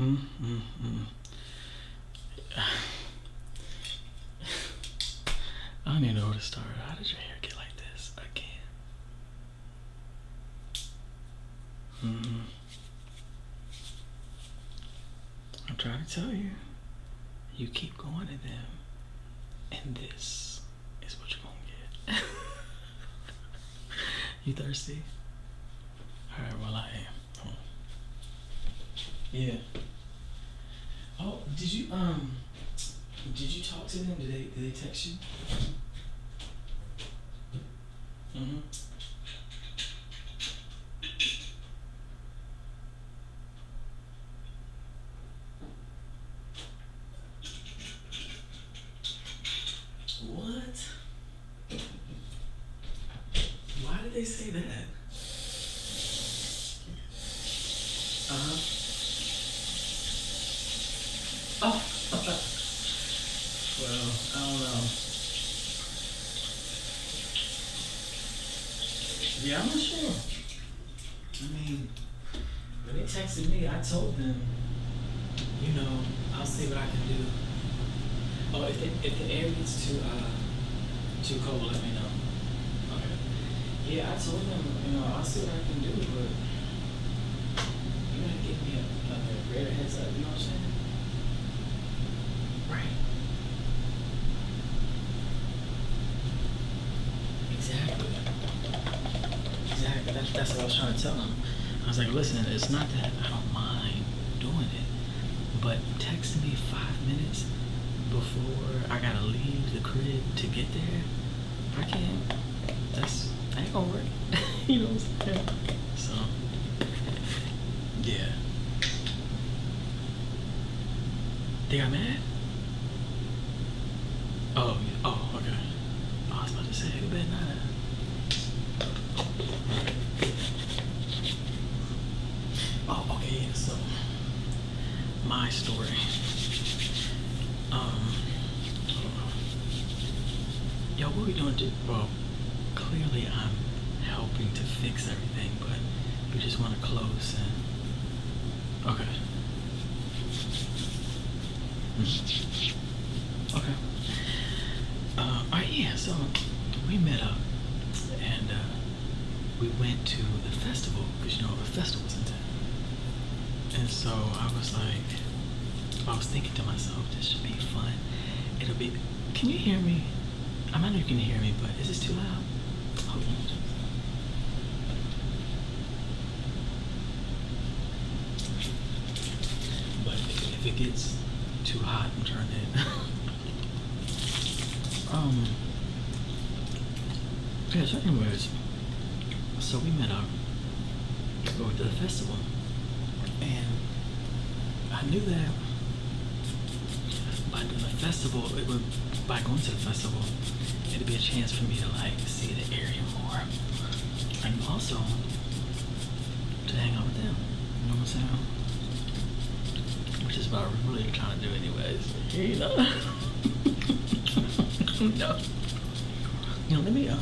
Mm, mm, mm. I don't even know where to start. How did your hair get like this again? Mm. I'm trying to tell you, you keep going to them, and this is what you're gonna get. you thirsty? All right, well I am. Yeah. Oh, did you um, did you talk to them? Did they did they text you? Mm-hmm. What? Why did they say that? Uh-huh. Oh. well, I don't know. Yeah, I'm not sure. I mean, when they texted me, I told them, you know, I'll see what I can do. Oh, if, the if the air gets too uh, too cold, let me know. Okay. Yeah, I told them, you know, I'll see what I can do, but you gotta get me up, a greater up. You know what I'm saying? Right. Exactly. Exactly. That's, that's what I was trying to tell him. I was like, listen, it's not that I don't mind doing it, but texting me five minutes before I gotta leave the crib to get there, I can't. That's, that ain't gonna work. you know what I'm saying? So. Yeah. They got mad? Oh, oh, okay. Oh, I was about to say, they better Oh, okay, so my story. Um, yo, what we doing? dude? clearly I'm helping to fix everything, but we just want to close and okay. Hmm. Okay. Uh, all right, yeah, so we met up and uh, we went to the festival because you know the festival was in town. And so I was like, I was thinking to myself, this should be fun. It'll be can you hear me? I not know you can hear me, but is this too loud? Hold on. But if it gets too hot, I'm turning it. um. Yeah. So, anyways, so we met up. We went to the festival, and I knew that by doing a festival, by going to the festival, it'd be a chance for me to like see the area more, and also to hang out with them. You know what I'm saying? Which is what I'm really trying to do, anyways. You know? no. You know, let me um.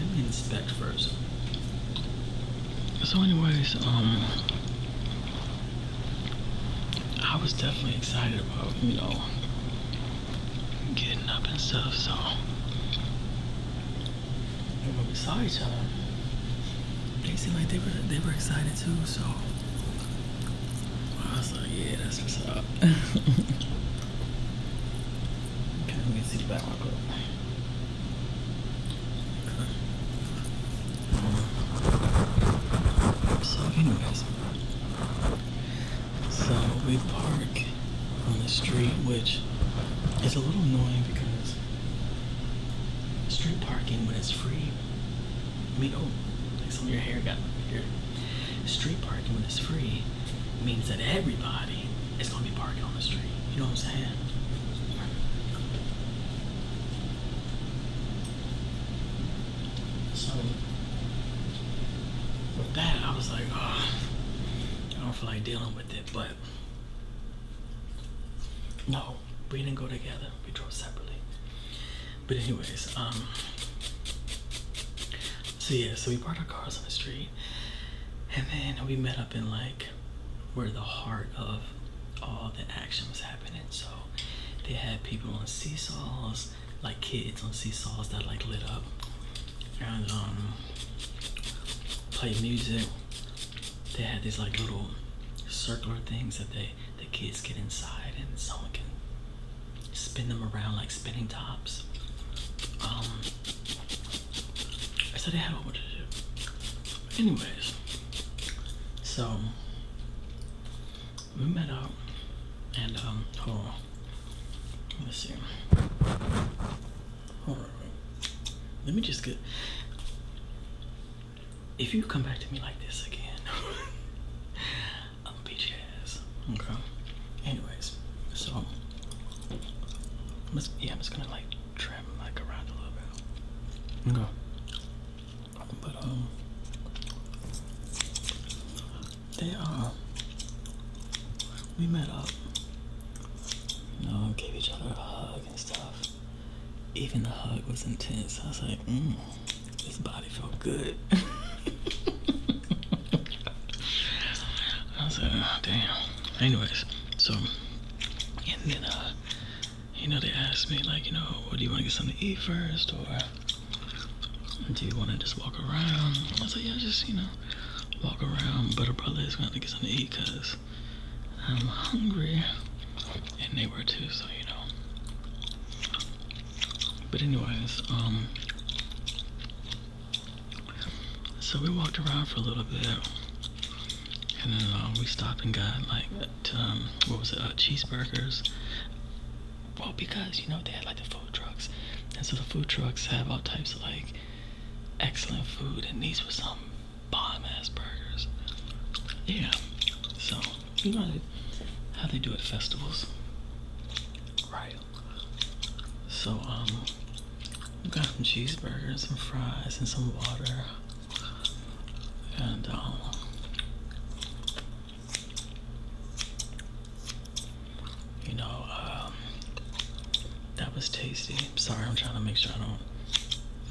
Let me inspect first. So, anyways, um, I was definitely excited about, you know, getting up and stuff, so. And when we saw each other, they seemed like they were, they were excited too, so. I was like, yeah, that's what's up. Okay, let me see the back of my book. So, anyways, so we park on the street, which is a little annoying because street parking when it's free, I mean, oh, like some of your hair got here. Street parking when it's free means that everybody is going to be parking on the street. You know what I'm saying? So, with that, I was like, oh, I don't feel like dealing with it, but no, we didn't go together. We drove separately. But anyways, um, so yeah, so we parked our cars on the street and then we met up in like where the heart of all the action was happening. So they had people on seesaws, like kids on seesaws that like lit up and um played music. They had these like little circular things that they the kids get inside and someone can spin them around like spinning tops. Um I said I had a whole bunch of shit. Anyways, so we met up and um Let's see. Hold Let me just get if you come back to me like this again, I'm beat your ass. Okay. Anyways, so yeah, I'm just gonna like trim like around a little bit. Okay. But um, they uh, we met up. You gave each other a hug and stuff. Even the hug was intense. I was like, mm, this body felt good. I was like, uh, damn. Anyways, so, and then, uh, you know, they asked me, like, you know, what do you want to get something to eat first, or do you want to just walk around? I was like, yeah, just, you know, walk around. But her brother is going to get something to eat because I'm hungry. And they were too, so, you know. But anyways, um, so we walked around for a little bit, and then uh, we stopped and got like um, what was it, uh, cheeseburgers. Well, because you know they had like the food trucks, and so the food trucks have all types of like excellent food, and these were some bomb ass burgers. Yeah, so you know how they do at festivals, right? So, um, we got some cheeseburgers, and fries, and some water. And, um, you know, um, that was tasty. Sorry, I'm trying to make sure I don't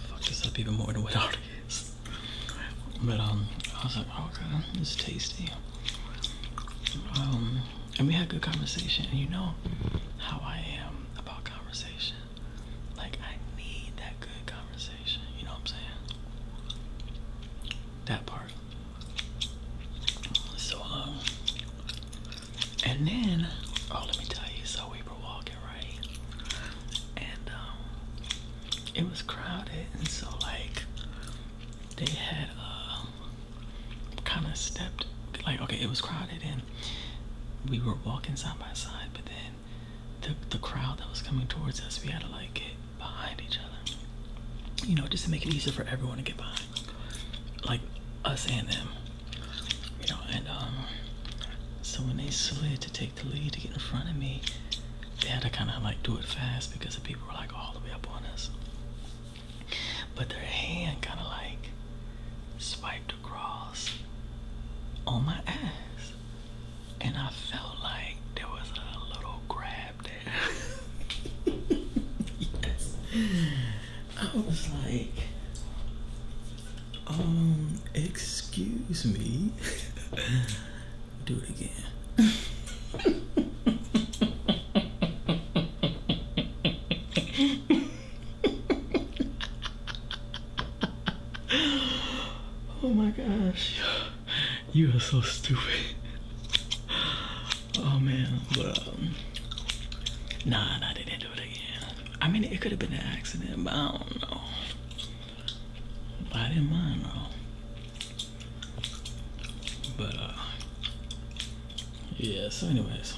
fuck this up even more than what it is. But, um, I was like, okay, oh, is tasty. Um, and we had good conversation. And you know how I am about conversation. Like I need that good conversation. You know what I'm saying? That part. So um, and then oh, let me tell you. So we were walking right, and um, it was crowded, and so like they had a. Uh, kind of stepped like okay it was crowded and we were walking side by side but then the, the crowd that was coming towards us we had to like get behind each other you know just to make it easier for everyone to get by, like us and them you know and um so when they slid to take the lead to get in front of me they had to kind of like do it fast because the people were like all the way up on us but their hand kind of like swiped across on my ass. And I felt like there was a little grab there. I was like, um, excuse me. Do it again. oh my gosh. You are so stupid. Oh man, but nah, nah, didn't do it again. I mean, it could have been an accident, but I don't know. I didn't mind though. But uh, Yes, anyways.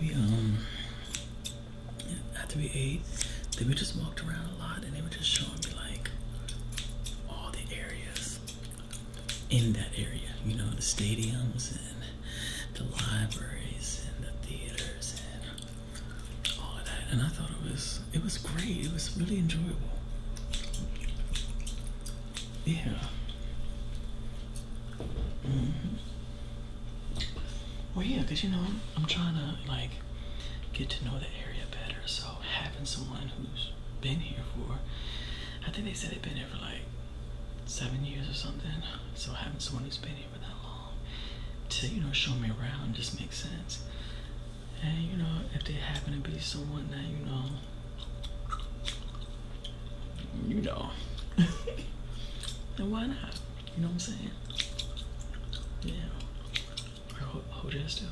We, um, after we ate, Then we just walked around a lot and they were just showing me like all the areas in that area. You know, the stadiums and the libraries and the theaters and all of that. And I thought it was it was great. It was really enjoyable. Yeah. Mm-hmm. Well, yeah, because you know I'm trying to like get to know the area better. So having someone who's been here for, I think they said they've been here for like seven years or something. So having someone who's been here for that long to you know show me around just makes sense. And you know, if they happen to be someone that you know, you know, then why not? You know what I'm saying? Yeah. Hold, hold your still.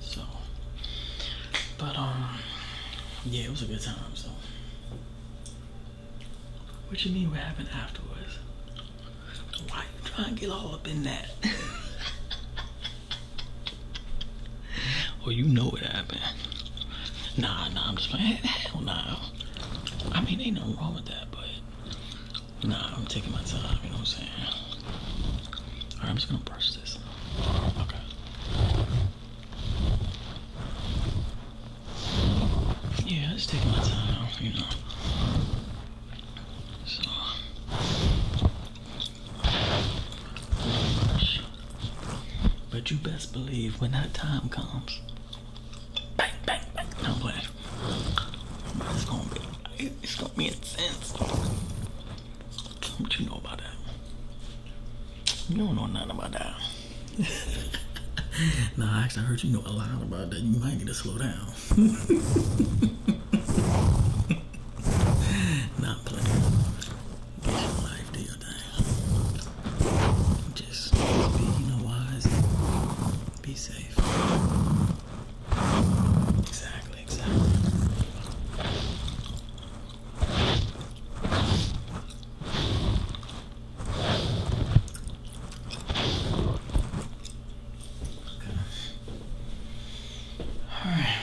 So, but um, yeah, it was a good time. So, what you mean? What happened afterwards? Why you trying to get all up in that? Well, you know what happened. Nah, nah, I'm just playing. Hell nah. I mean, ain't nothing wrong with that, but nah, I'm taking my time. You know what I'm saying? All right, I'm just gonna brush this. Okay. Yeah, I'm just taking my time. You know. So. But you best believe when that time comes, bang, bang, bang, no way. It's gonna be, it's gonna be intense. Don't you know about that? You don't know nothing about that. nah, actually, heard you know a lot about that. You might need to slow down. Not playing. Just be, you know, wise. Be safe. Exactly, exactly. All right.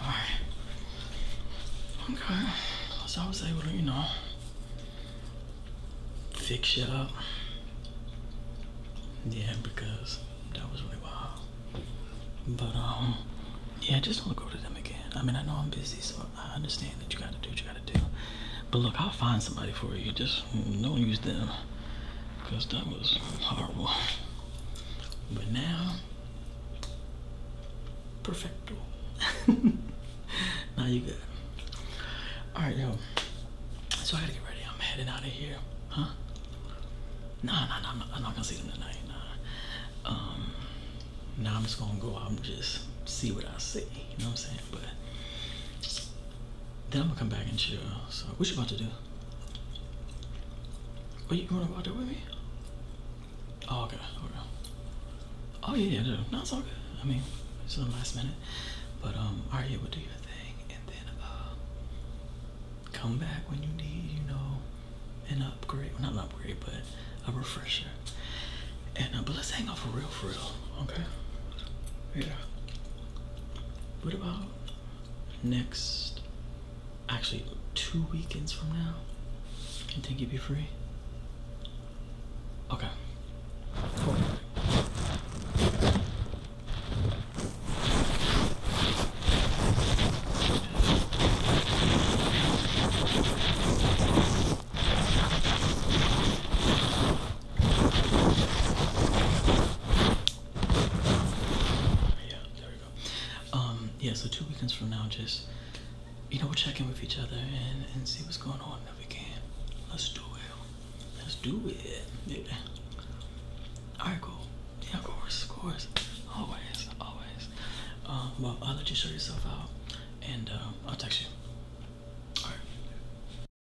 Alright. Okay. So I was able to, you know, fix it up. Yeah, because that was really wild. But, um, yeah, just don't go to them again. I mean, I know I'm busy, so I understand that you gotta do what you gotta do. But look, I'll find somebody for you. Just no don't use them because that was horrible but now perfecto now you good all right yo so i gotta get ready i'm heading out of here huh nah nah, nah I'm, not, gonna see them tonight nah um, now i'm just gonna go out and just see what i see you know what i'm saying but then I'm gonna come back and chill. So what you about to do? Are you going to to do with me? Oh okay, Oh yeah, yeah, no, it's all good. I mean, it's the last minute. But um, alright, yeah, we'll do your thing and then uh, come back when you need, you know, an upgrade. Well, not an upgrade, but a refresher. And uh, but let's hang out for real for real, okay? Yeah. What about next? Actually, two weekends from now? You think you'd be free? Okay. Yeah, there we go. Um, yeah, so two weekends from now, just you know, we'll check in with each other and, and see what's going on if we can. Let's do it. Let's do it. Yeah. Alright, cool. Yeah, of course, of course. Always, always. Um, well, I'll let you show yourself out and um, I'll text you. Alright.